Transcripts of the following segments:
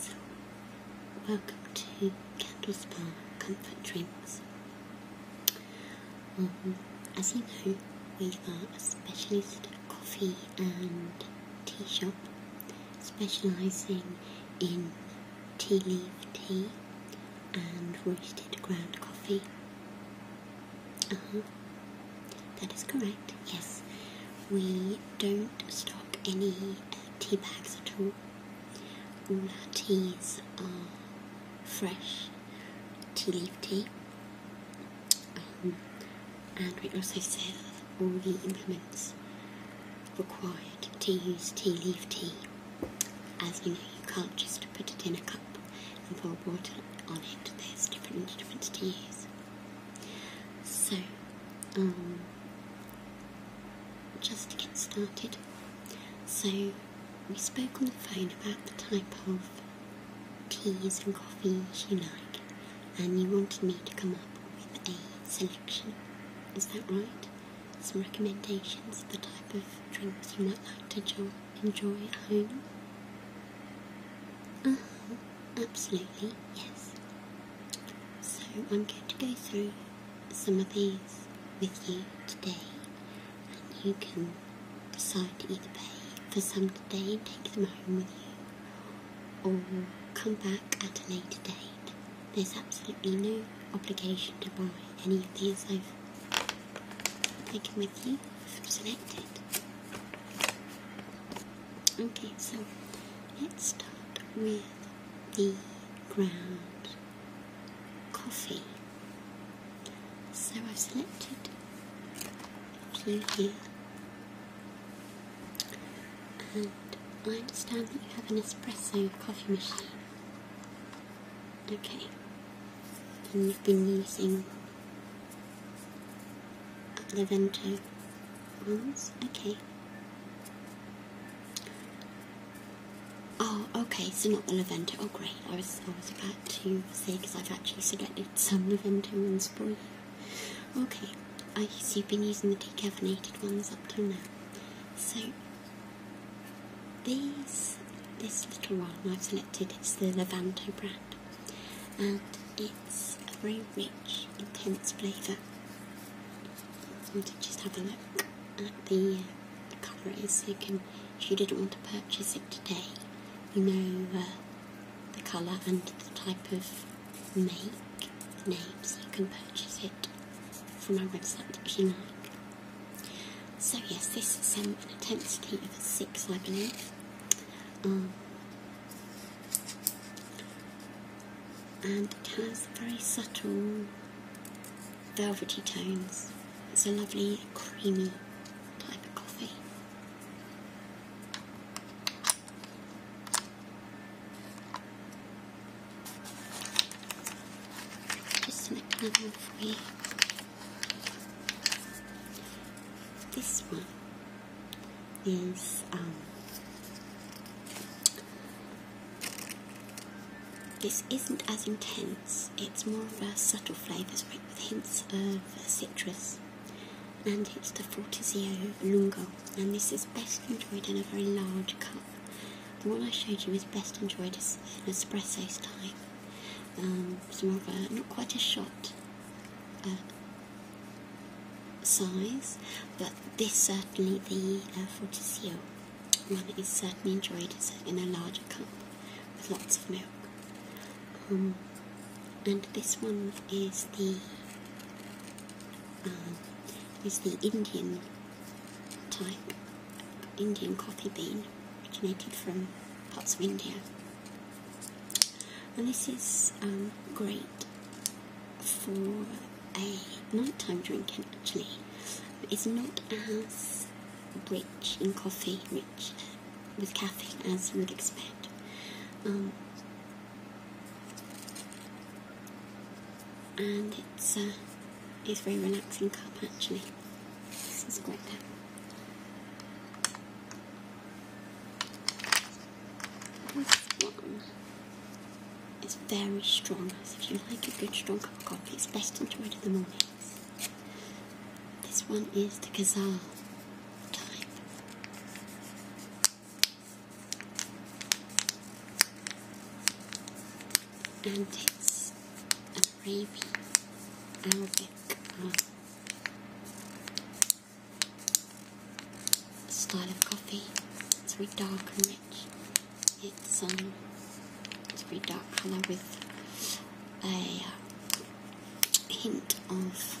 So, welcome to Candle Spa Comfort Drinks. Um, as you know, we are a specialist coffee and tea shop specialising in tea leaf tea and roasted ground coffee. Uh -huh. That is correct, yes. We don't stock any tea bags at all. All our teas are fresh tea leaf tea. Um, and we also sell all the implements required to use tea leaf tea. As you know, you can't just put it in a cup and pour water on it. There's different instruments to use. So, um, just to get started, so we spoke on the phone about the type of teas and coffees you like, and you wanted me to come up with a selection. Is that right? Some recommendations, of the type of drinks you might like to enjoy at home. Uh-huh. absolutely, yes. So I'm going to go through some of these with you today, and you can decide to either pay for some today and take them home with you, or come back at a later date. There's absolutely no obligation to buy any of these I've taken with you selected. Okay, so let's start with the ground coffee. So I've selected a here, and I understand that you have an espresso coffee machine. Okay, and you've been using the Vento ones, okay. Oh, okay, so not the Levento. Oh, great. I was, I was about to say because I've actually selected some Levento ones for you. Okay, I so you've been using the decaffeinated ones up till now. So, these, this little one I've selected, it's the Levanto brand and it's a very rich, intense flavour. i So just have a look at the, uh, so you can, if you didn't want to purchase it today, you know uh, the colour and the type of make, name, so you can purchase it from our website if you like. So yes, this is um, an intensity of a 6 I believe. Um, and it has very subtle velvety tones. It's a lovely creamy type of coffee. Just make another for you. This one um, this isn't as intense, it's more of a subtle flavour spread with hints of citrus. And it's the Fortizio Lungo, and this is best enjoyed in a very large cup. The one I showed you is best enjoyed as an espresso style. Um, more of a, not quite a shot, size, but this certainly the uh, one is certainly enjoyed in a larger cup with lots of milk. Um, and this one is the um, is the Indian type Indian coffee bean originated from parts of India and this is um, great for a nighttime drinking actually. It's not as rich in coffee, rich with caffeine as you would expect. Um, and it's uh, it's a very relaxing cup actually. This is great. This one is very strong, so if you like a good strong cup of coffee, it's best enjoyed in the mornings. This one is the Ghazal type. And it's an Arabian Arabic. Um, style of coffee. It's very dark and rich. It's um, it's a very dark colour with a uh, hint of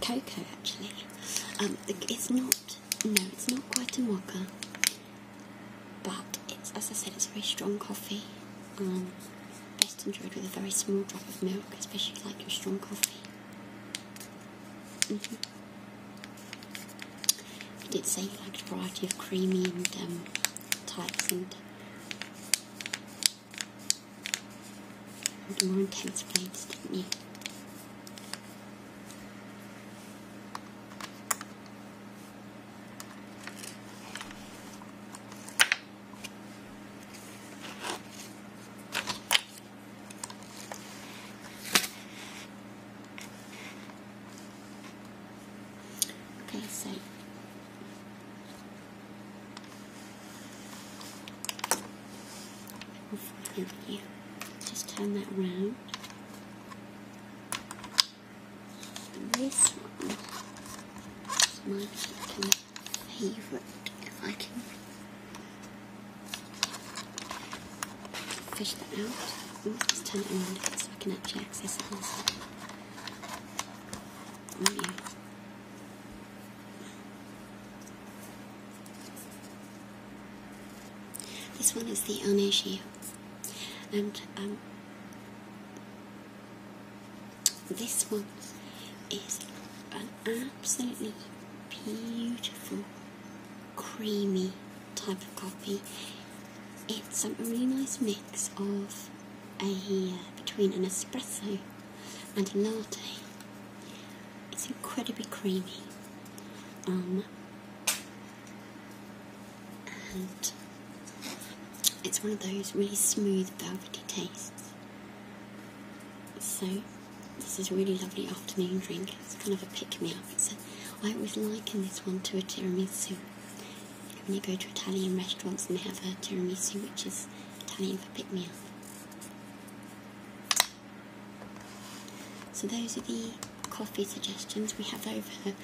cocoa. Actually, um, it's not. No, it's not quite a mocha, but it's as I said, it's a very strong coffee. Um, best enjoyed with a very small drop of milk, especially if you like your strong coffee. Mm did say you liked a variety of creamy and um, types and, more intense blends, did didn't you? Okay, so we just turn that round this one is my second favourite, if I can fish that out. Ooh, turn it around so I can actually access it This one is the Oneshi, and um, this one is an absolutely beautiful, creamy type of coffee. It's a really nice mix of a uh, between an espresso and a latte. It's incredibly creamy. Um, and it's one of those really smooth, velvety tastes. So, this is a really lovely afternoon drink. It's kind of a pick me up. It's a, I always liken this one to a tiramisu. When you go to Italian restaurants and they have a tiramisu, which is Italian for pick me up. So, those are the coffee suggestions. We have over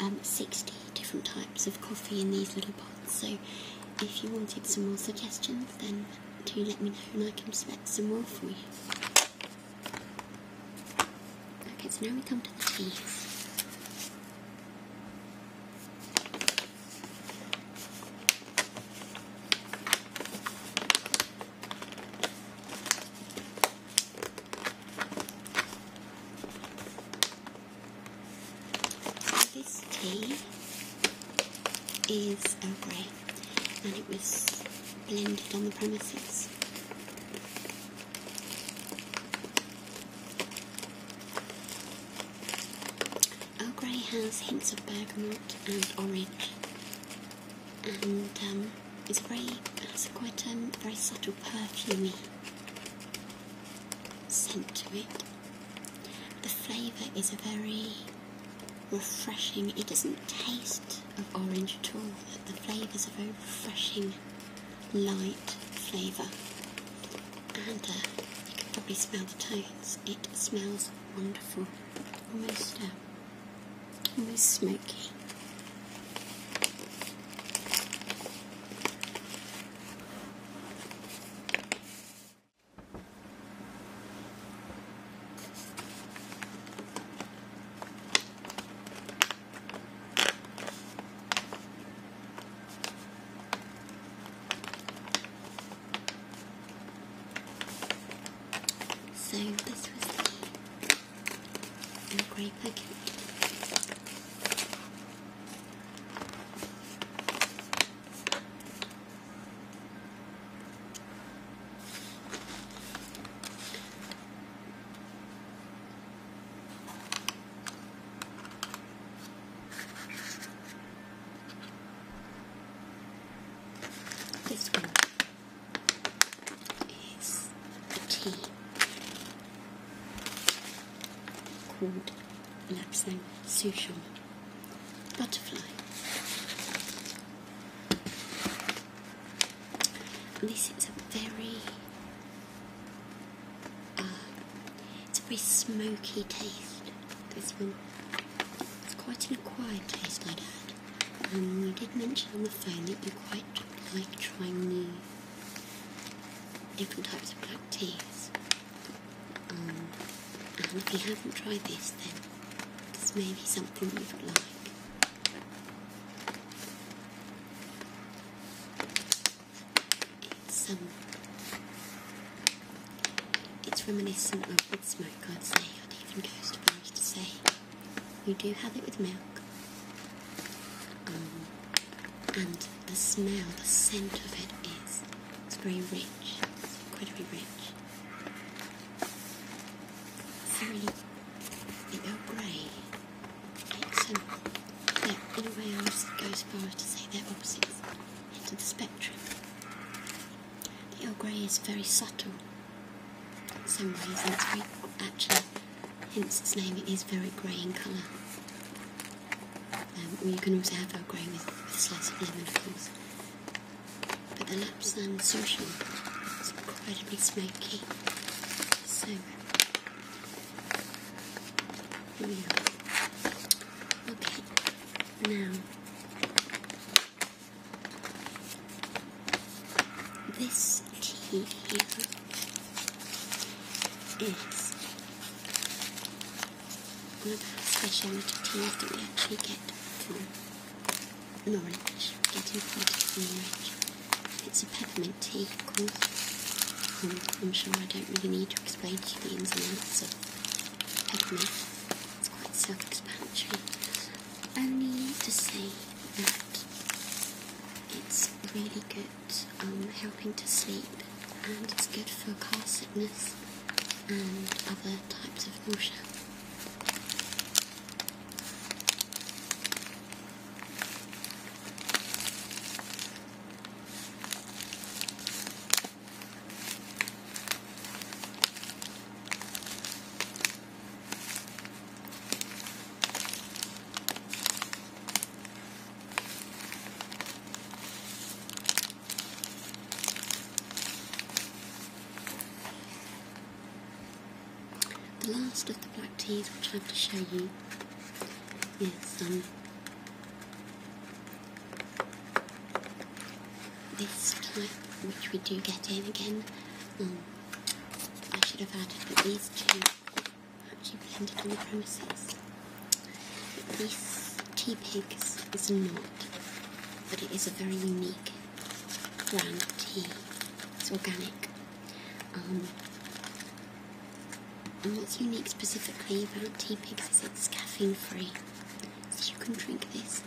um, 60 different types of coffee in these little pots. So if you wanted some more suggestions, then do let me know and I can select some more for you. Okay, so now we come to the teas. This tea is Earl and it was blended on the premises. Earl has hints of bergamot and orange and um, it's very, it's quite um, very subtle perfumey scent to it. The flavour is a very refreshing, it doesn't taste of orange at all. The flavour is a very refreshing, light flavour. And uh, you can probably smell the tones. It smells wonderful, almost, uh, almost smoky. So this was in a grey packet. This tea called Lapsang souchong Butterfly. this is a very, uh, it's a very smoky taste, this one. It's quite an acquired taste I'd add. you um, did mention on the phone that you quite like trying new different types of black teas. Um, and if you haven't tried this, then it's maybe something you'd like. It's um, it's reminiscent of Wood Smoke, I'd say. I'd even go as far as to say. You do have it with milk. Um, and the smell, the scent of it is very rich. It's very rich. Very the Earl Grey. It's an, yeah, in a way I would go as far as to say that, opposite opposites ends of the spectrum. The Earl Grey is very subtle in some ways it's very actually hence its name, it is very grey in colour. Um, you can also have a grey with, a slice of lemon, of course. But the Lapsang Social is incredibly smoky. So, here we are. Okay, now this tea here is one of our specialty teas that we actually get from Norwich, getting from Norwich. It's a peppermint tea, of um, I'm sure I don't really need to explain to you the ins and outs of peppermint. It's quite self-explanatory. I need to say that it's really good um, helping to sleep and it's good for car sickness and other types of nausea. The last of the black teas which I have to show you is um, this type which we do get in again. Um, I should have added that these two actually blended on the premises. But this tea pigs is not, but it is a very unique brand tea. It's organic. Um, and what's unique specifically about tea pigs is it's caffeine free. So you can drink this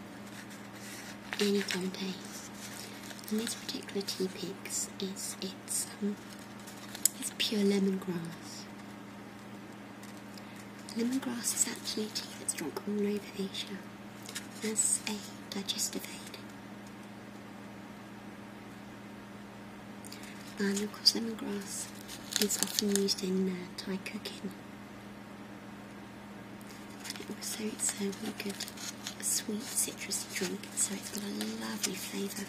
any time of day. And this particular tea picks is it's um, it's pure lemongrass. Lemongrass is actually a tea that's drunk all over Asia as a digestive aid. And of course lemongrass is often used in uh, Thai cooking. Also, it's a uh, really good, sweet citrus drink, so it's got a lovely flavour.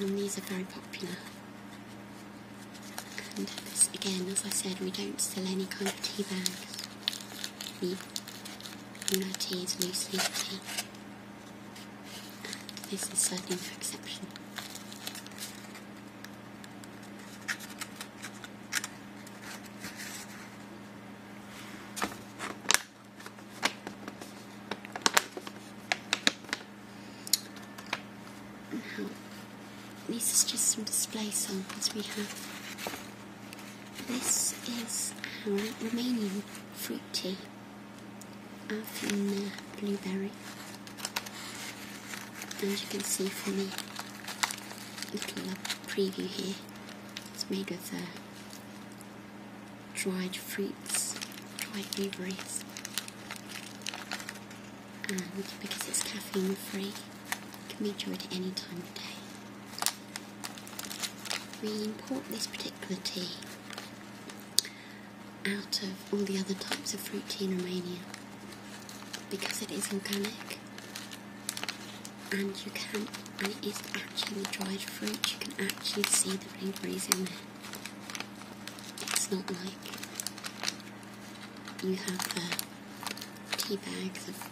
And these are very popular. And again, as I said, we don't sell any kind of tea bags. We own our tea loose leaf tea. this is certainly no exception. Now, uh-huh. these just some display samples we have. This is our remaining fruit tea. Our from uh, blueberry and you can see for me a little preview here it's made with uh, dried fruits dried blueberries and because it's caffeine free it can be enjoyed at any time of day we import this particular tea out of all the other types of fruit tea in Romania because it is organic and you can and it is actually the dried fruit you can actually see the blueberries in there it's not like you have the tea bag, of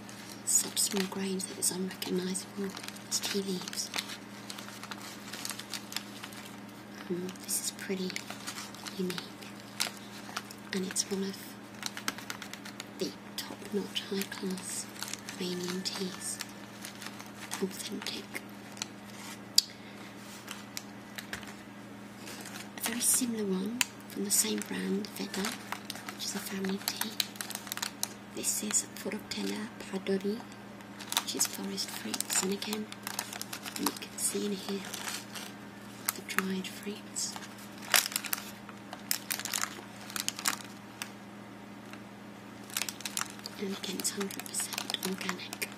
such small grains that it's unrecognisable as tea leaves this is pretty unique, and it's one of the top-notch high-class Romanian teas. Authentic. A very similar one from the same brand, Vega, which is a family tea. This is Fortella Padori which is forest fruits, and again, you can see in here the dried fruits. And again, it's 100% organic.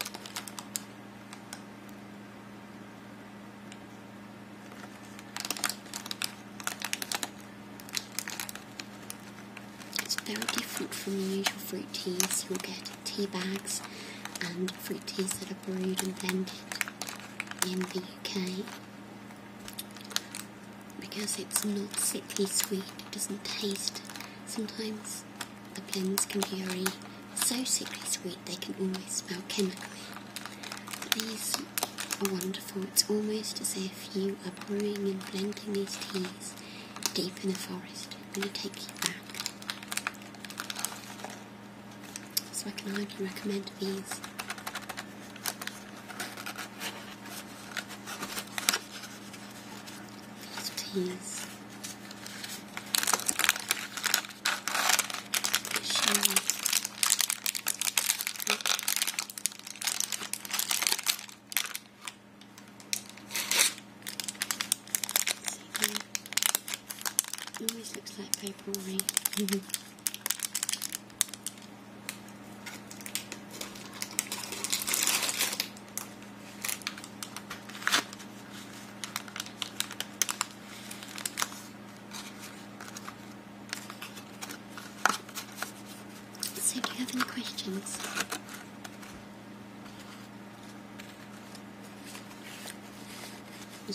It's very different from the usual fruit teas you'll get tea bags and um, fruit teas that are brewed and blended in the UK. Because it's not sickly sweet, it doesn't taste. Sometimes the blends can be very so sickly sweet they can almost smell chemically. But these are wonderful. It's almost as if you are brewing and blending these teas deep in the forest. I'm gonna take you back. So I can only recommend these. These teas. It always looks like paper on me. So, do you have any questions?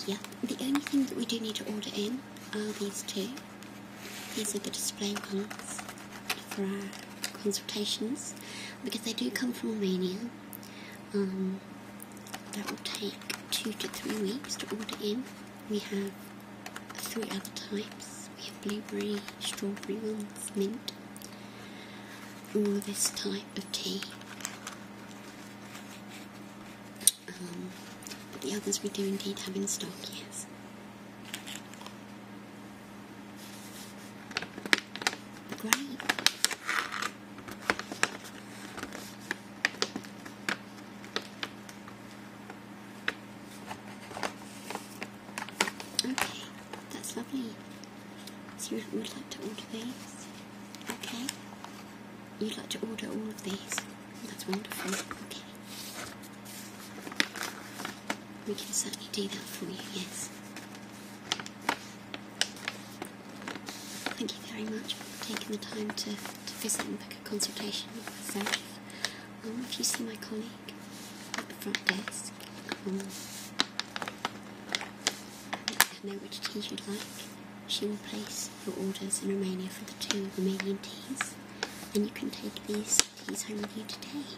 Yeah, the only thing that we do need to order in are these two. These are the display ones for our consultations because they do come from Romania. Um, that will take two to three weeks to order in. We have three other types. We have blueberry, strawberry ones, mint, all this type of tea. Um, but the others we do indeed have in stock, yes. Great. Okay. That's lovely. So you would like to order these? Okay. You'd like to order all of these? That's wonderful. Okay. We can certainly do that for you, yes. Thank you very much for taking the time to, to visit and book a consultation with myself. Um, if you see my colleague, at the front desk. Um, let her know which teas you'd like. She will place your orders in Romania for the two Romanian teas, and you can take these teas home with you today.